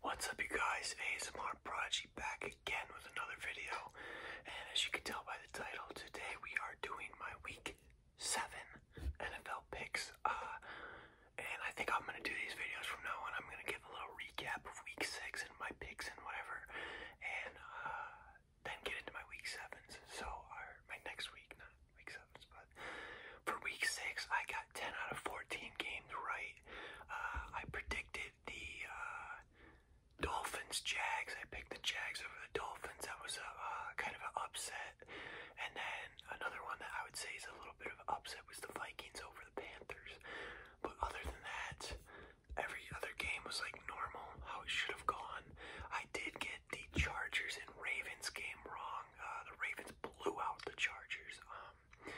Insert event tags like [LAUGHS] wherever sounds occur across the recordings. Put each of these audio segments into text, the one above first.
What's up you guys, ASMR Prodigy back again with another video and as you can tell by the title, today we are doing my week 7 NFL picks uh, and I think I'm going to do these videos from now on, I'm going to give a little recap of week 6 and my picks and whatever and uh, then get into my week 7s, so our, my next week, not week 7s, but for week six, I got 10 out of 14 games right. Uh, I predicted the uh, Dolphins Jags. I picked the Jags over the Dolphins. That was a uh, kind of an upset. And then another one that I would say is a little bit of an upset was the Vikings over the Panthers. But other than that, every other game was like normal, how it should have gone. I did get the Chargers and Ravens game wrong. Uh, the Ravens blew out the Chargers. Um,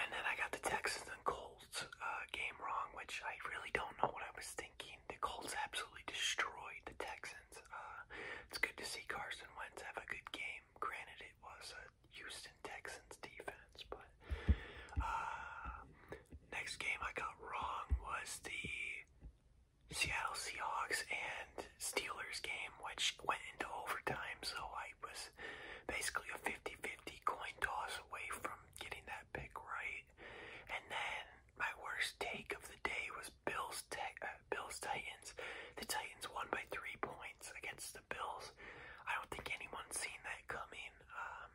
and then I got the Texans and Colts uh, game wrong, which I really don't know what I was thinking. The Colts absolutely destroyed the Texans. Uh, it's good to see Carson Wentz have a good game. Granted, it was a Houston Texans defense, but next game I got wrong was the Seattle Seahawks and Steelers game, which went into overtime, so I was basically a 50 50 coin toss away from getting that pick right. And then my worst take of the day was Bills, uh, Bills Titans. The Titans won by three points against the Bills. I don't think anyone's seen that coming. Um,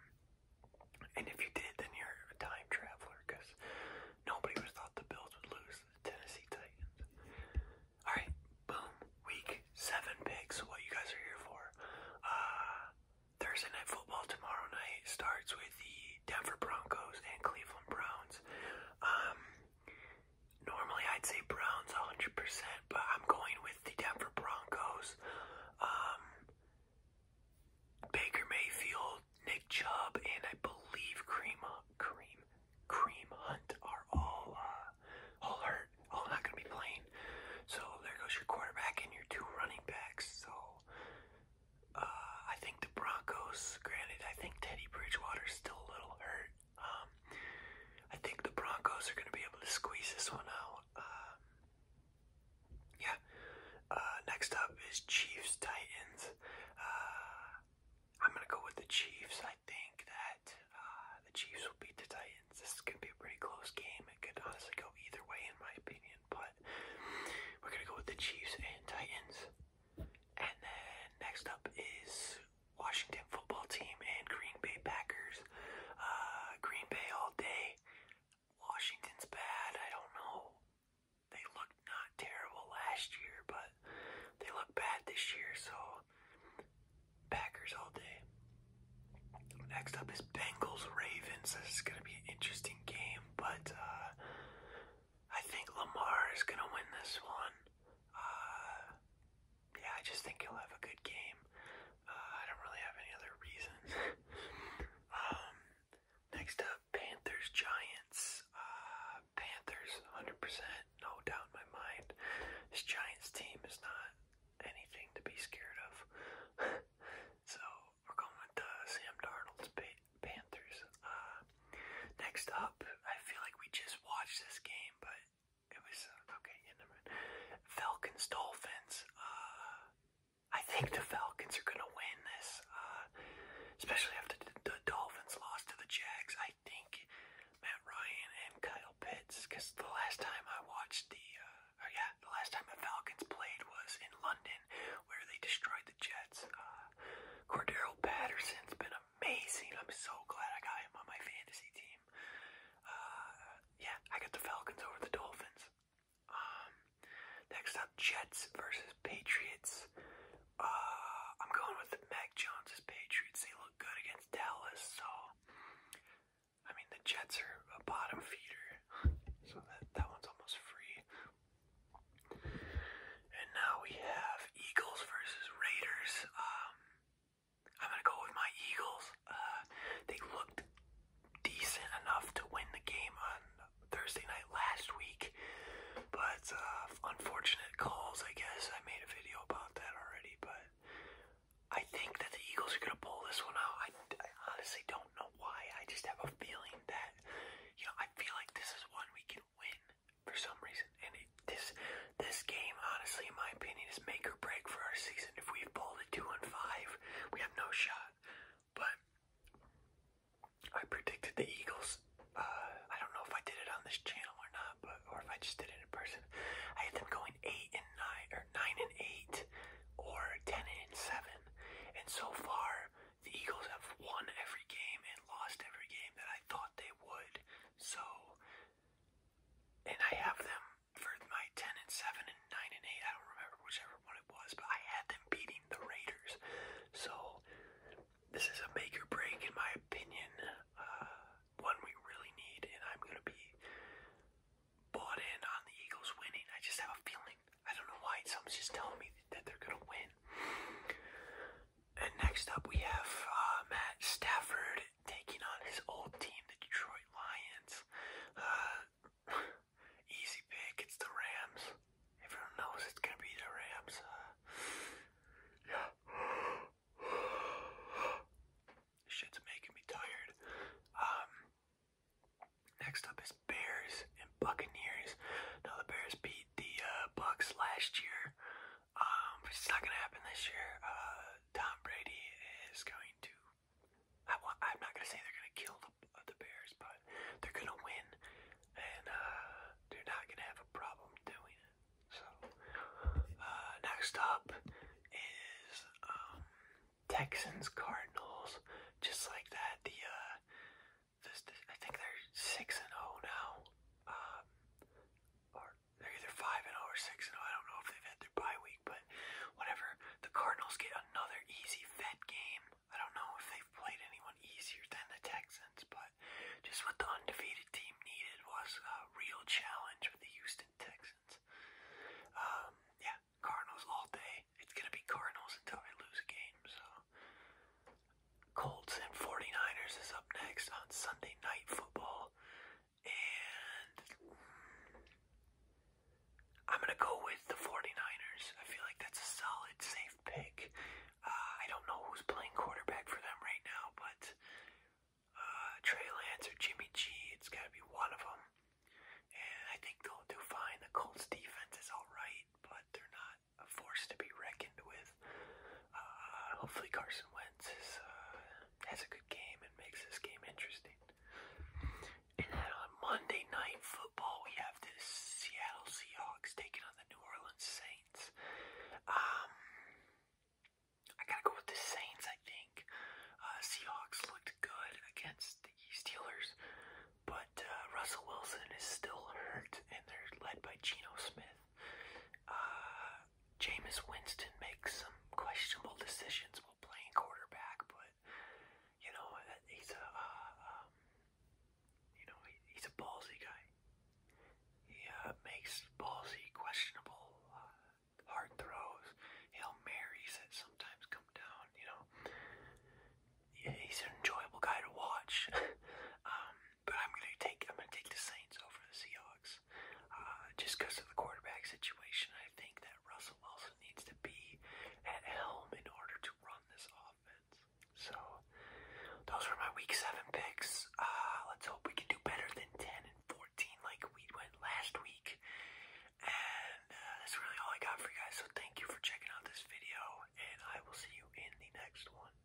and if you did, then you're a time traveler because nobody would have thought the Bills would lose. Tennessee Titans. Alright, boom. Week seven picks, what you guys are here for. Uh, Thursday night football tomorrow night starts with the Denver Broncos and Cleveland Browns. Um, normally I'd say Browns hundred percent, but I'm going with the Denver Broncos. Um, Baker Mayfield Nick Chubb and I believe Cream Cream Cream Hunt are all uh, all hurt, all not going to be playing. So there goes your quarterback and your two running backs. So uh, I think the Broncos. Granted, I think Teddy Bridgewater's still a little hurt. Um, I think the Broncos are going to be able to squeeze this one out. Um, yeah, uh, next up is Chiefs Titans. Uh, I'm gonna go with the Chiefs. I think that uh, the Chiefs will beat the Titans. This could be a pretty close game. It could honestly go either way, in my opinion. But we're gonna go with the Chiefs and Titans. And then next up is Washington Football Team and Green Bay Packers. Green Bay all day. Washington's bad. I don't know they looked not terrible last year, but they look bad this year, so Packers all day. Next up is Bengals Ravens. This is going to be an interesting game, but uh, I think Lamar is going to win this one. Uh, yeah, I just think he'll have a good game. Uh, I don't really have any other reason. [LAUGHS] Um, Next up, Panthers Giants. Uh, Panthers, 100%, no doubt in my mind. This Giants team is not anything to be scared of. [LAUGHS] so we're going with the uh, Sam Darnold's Panthers. Uh, next up, I feel like we just watched this game, but it was uh, okay. In the mind. Falcons Dolphins. Uh, I think the Falcons are going to win this, uh, especially after the Dolphins lost to the Jags. I think Matt Ryan and Kyle Pitts, because the last time I watched the, uh, yeah, the last time the Falcons played was in London, where they destroyed the Jets. Uh, Cordero Patterson's been amazing. I'm so glad I got him on my fantasy team. Uh, yeah, I got the Falcons over the Dolphins. Um, next up, Jets versus Patriots. Uh, I'm going with the Mac Jones' Patriots. They look good against Dallas, so I mean the Jets are a bottom feeder, so that that one's almost free. And now we have Eagles versus Raiders. Um, I'm gonna go with my Eagles. Uh, they looked decent enough to win the game on Thursday night last week, but uh, unfortunate calls, I guess. I made a video about that already, but I think that the Eagles are going to pull this one out. I, I honestly don't know why. I just have a feeling that, you know, I feel like this is one we can win for some reason. And it, this this game, honestly, in my opinion, is make or break for our season. If we pull the 2 and 5, we have no shot. But I predicted the Eagles. Uh, I don't know if I did it on this channel or not, but or if I just did it in person. I had them going eight and nine, or nine and eight, or ten and seven. And so far, the Eagles have won every game and lost every game that I thought they would. So, and I have them for my 10 and 7 and 9 and 8, I don't remember whichever one it was, but I had them beating the Raiders. So this is a make break, in my opinion, uh, one we really need, and I'm going to be bought in on the Eagles winning. I just have a feeling. I don't know why. Someone's just telling me that they're going to win. And next up, we have uh, Matt Stafford taking on his old team, the Detroit Lions. Uh, [SIGHS] easy pick, it's the Rams. Everyone knows it's gonna be the Rams. yeah. Uh, [SIGHS] shit's making me tired. Um, next up is Bears and Buccaneers. Now the Bears beat the uh, Bucks last year. Um, it's not gonna happen this year. Uh, Tom Brady is going to I, am not gonna say they're gonna kill the the Bears, but they're gonna win, and uh, they're not gonna have a problem doing it. So uh, next up is um, Texans Cardinals. Just like that, the uh, I think they're six and zero oh now, um, they're either 5 and 0 or 6 and 0. don't know if they've had their bye week, but whatever. The Cardinals get another easy Fed game. I don't know if they've played anyone easier than the Texans, but just what the undefeated team needed was a real challenge with the Houston Texans. Um, yeah, Cardinals all day. It's going to be Cardinals until they lose a game, so. Colts and 49ers is up next on Sunday Night Football. And I'm going to go with the 49ers. I feel like that's a solid, safe pick. Uh, I don't know who's playing quarterback for them right now, but uh, Trey Lance or Jimmy G, it's got to be one of them. And I think they'll do fine. The Colts defense is all right, but they're not a force to be reckoned with. Uh, hopefully Carson Wentz uh, has a good game and makes this game interesting. And then on Monday Night Football, we have the Seattle Seahawks taking on the New Orleans Saints. Um, I gotta go with the Saints, I think. Uh, Seahawks looked good against the Steelers, but Russell Wilson is still hurt, and they're led by Geno Smith. Uh, Jameis Winston makes some questionable decisions while playing quarterback, but you know uh, he's a uh, um, you know he, he's a ballsy guy. He uh, makes ballsy, questionable, uh, hard throws. Hail marries that sometimes come down. You know yeah, he's an enjoyable guy to watch. [LAUGHS] um, but I'm gonna take I'm gonna take the Saints over the Seahawks. Uh, just because of the quarterback situation, I think that Russell Wilson needs to be at helm in order to run this offense. So, those were my week seven picks. Uh, let's hope we can do better than 10 and 14 like we went last week. And uh, that's really all I got for you guys. So, thank you for checking out this video, and I will see you in the next one.